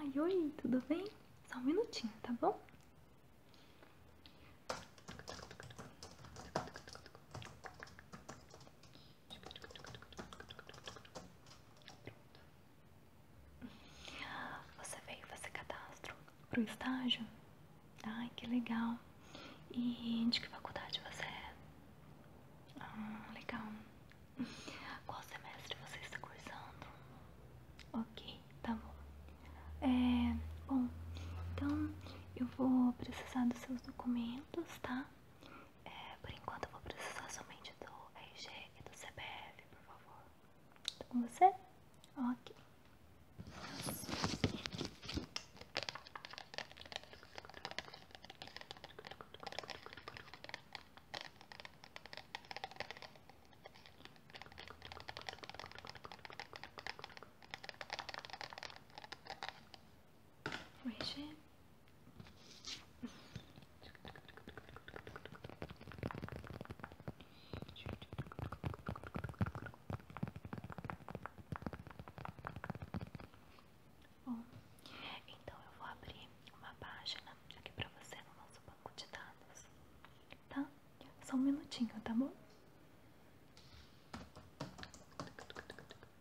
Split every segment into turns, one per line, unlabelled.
Ai, oi, tudo bem? Só um minutinho, tá bom? Você veio fazer cadastro pro estágio? Ai, que legal. E de que faculdade você é? Ah, legal. Qual semestre você está cursando? Ok, tá bom. É, bom, então eu vou precisar dos seus documentos, tá? É, por enquanto vou precisar somente do RG e do CPF, por favor. Tá com você? Ok. O G Bom, então eu vou abrir uma página aqui para você no nosso banco de dados, tá? Só um minutinho, tá bom?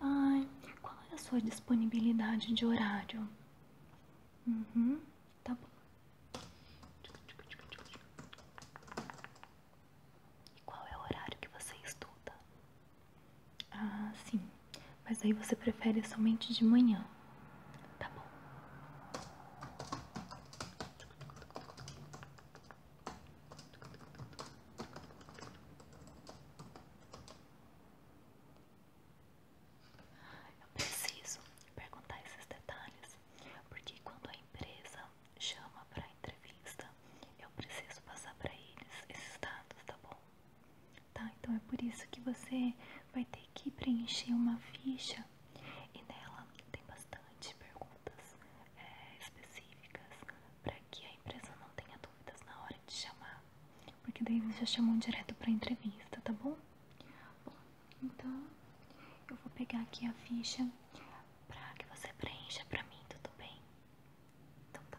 Ai, qual é a sua disponibilidade de horário? Uhum, tá bom. E qual é o horário que você estuda? Ah, sim. Mas aí você prefere somente de manhã. Tá bom. Eu preciso perguntar esses detalhes, porque quando a empresa chama para entrevista, eu preciso passar para eles esses dados, tá bom? Tá, então é por isso que você vai ter que preencher uma ficha e nela tem bastante perguntas eh, específicas para que a empresa não tenha dúvidas na hora de chamar porque daí eles já chamam direto pra entrevista, tá bom? então eu vou pegar aqui a ficha pra que você preencha pra mim, tudo bem? Então tá.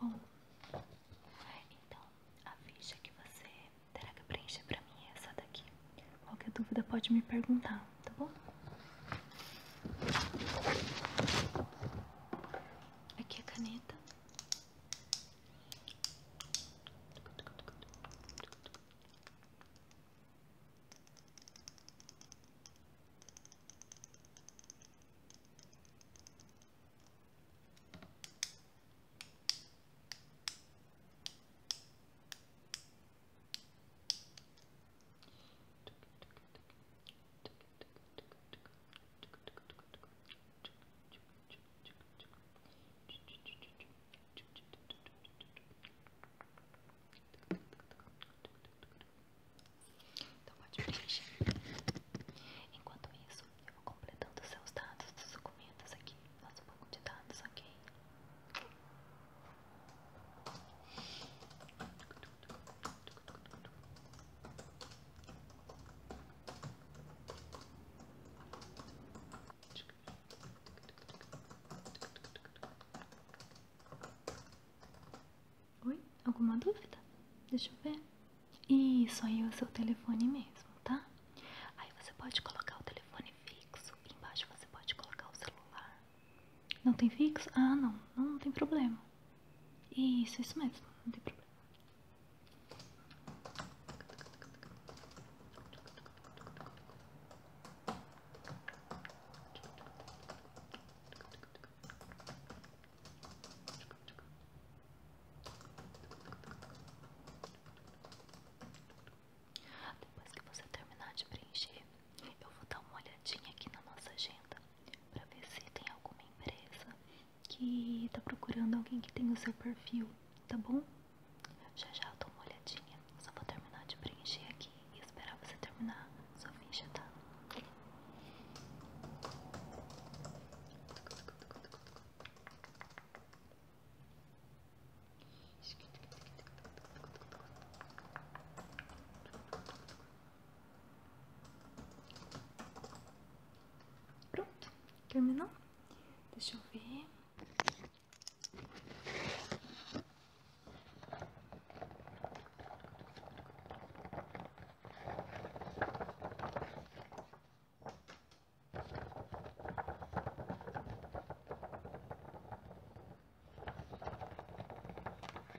Bom, então a ficha que você terá que preencher pra mim é essa daqui. Qualquer dúvida pode me perguntar, tá bom? Aqui a caneta. Então pode preencher. Enquanto isso, eu vou completando seus dados dos documentos aqui, nosso pouco de dados, ok? Oi? Alguma dúvida? Deixa eu ver. Isso aí é o seu telefone mesmo, tá? Aí você pode colocar o telefone fixo. Embaixo você pode colocar o celular. Não tem fixo? Ah, não. Não, tem problema. Isso, isso mesmo. Não tem problema. Depois que você terminar de preencher, eu vou dar uma olhadinha aqui na nossa agenda para ver se tem alguma empresa que tá procurando alguém que tem o seu perfil, tá bom? Já já eu dou uma olhadinha, só vou terminar de preencher aqui e esperar você terminar sua ficha, tá? Tá Pronto, terminou? Deixa eu ver.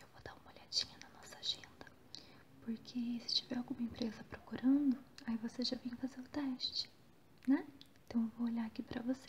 eu vou dar uma olhadinha na nossa agenda, porque se tiver alguma empresa procurando, aí você já vem fazer o teste, né? Então eu vou olhar aqui pra você.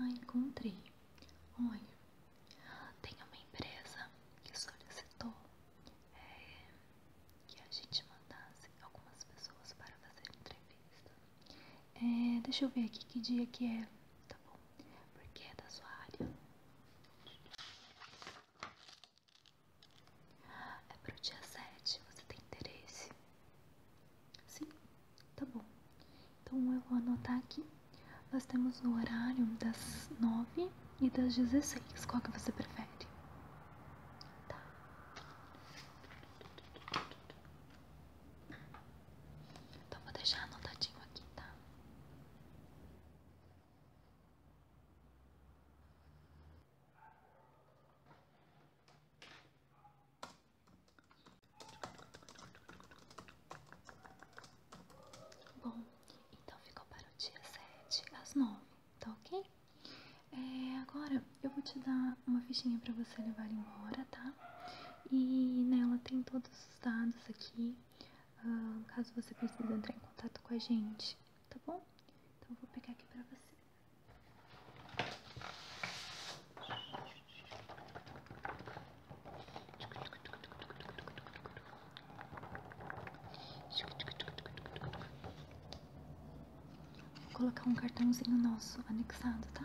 Ah, encontrei. Olha, tem uma empresa que solicitou é, que a gente mandasse algumas pessoas para fazer entrevista. É, deixa eu ver aqui que dia que é, tá bom? Porque é da sua área. É para o dia 7, você tem interesse? Sim, tá bom. Então eu vou anotar aqui. Nós temos no horário das 9 e das 16. Qual que você prefere? Tá. Então vou deixar anotadinho aqui, tá? Bom, então ficou para o dia 7 às 9, tá ok? É, agora eu vou te dar uma fichinha para você levar embora, tá? E nela tem todos os dados aqui, ah, caso você precise entrar em contato com a gente, tá bom? Então eu vou pegar aqui para você. Vou colocar um cartãozinho nosso anexado, tá?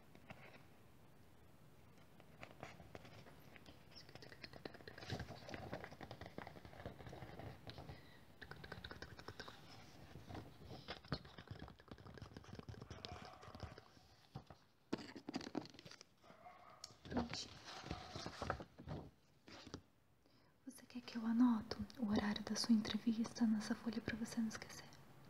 Você quer que eu anoto o horário da sua entrevista nessa folha para você não esquecer?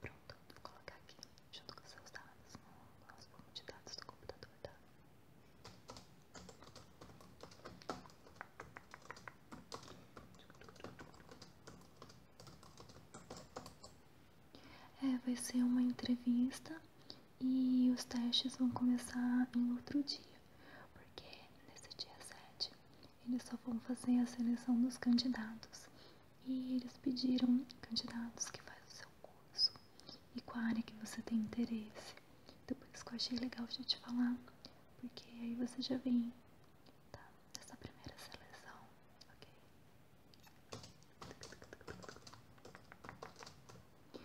Pronto, vou colocar aqui junto com seus dados no nosso banco de dados do computador, tá? É, vai ser uma entrevista e os testes vão começar em outro dia, porque nesse dia 7 eles só vão fazer a seleção dos candidatos. E eles pediram candidatos que faz o seu curso e qual área que você tem interesse. Depois que eu achei legal de te falar, porque aí você já vem, tá? dessa primeira seleção,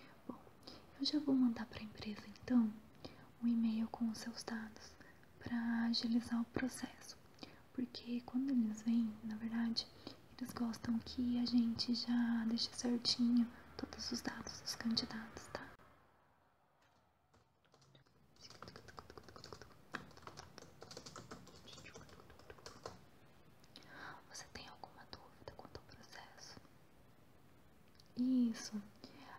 ok? Bom, eu já vou mandar para a empresa então um e-mail com os seus dados para agilizar o processo, porque quando eles vêm, na verdade, eles gostam que a gente já deixe certinho todos os dados dos candidatos, tá? Você tem alguma dúvida quanto ao processo? Isso.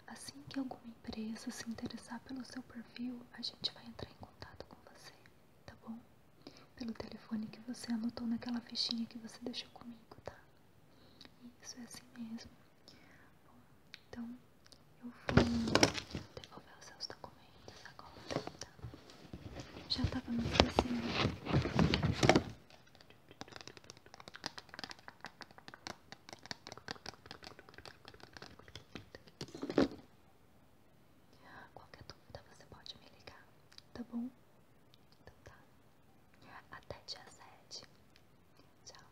Assim que alguma empresa se interessar pelo seu perfil, a gente vai entrar em contato com você, tá bom? Pelo telefone que você anotou naquela fichinha que você deixou comigo, tá? Isso é assim mesmo. Bom, então eu vou devolver os seus documentos agora, tá? Já tava me esquecendo. Qualquer dúvida você pode me ligar, tá bom? Então tá. Até dia 7. Tchau.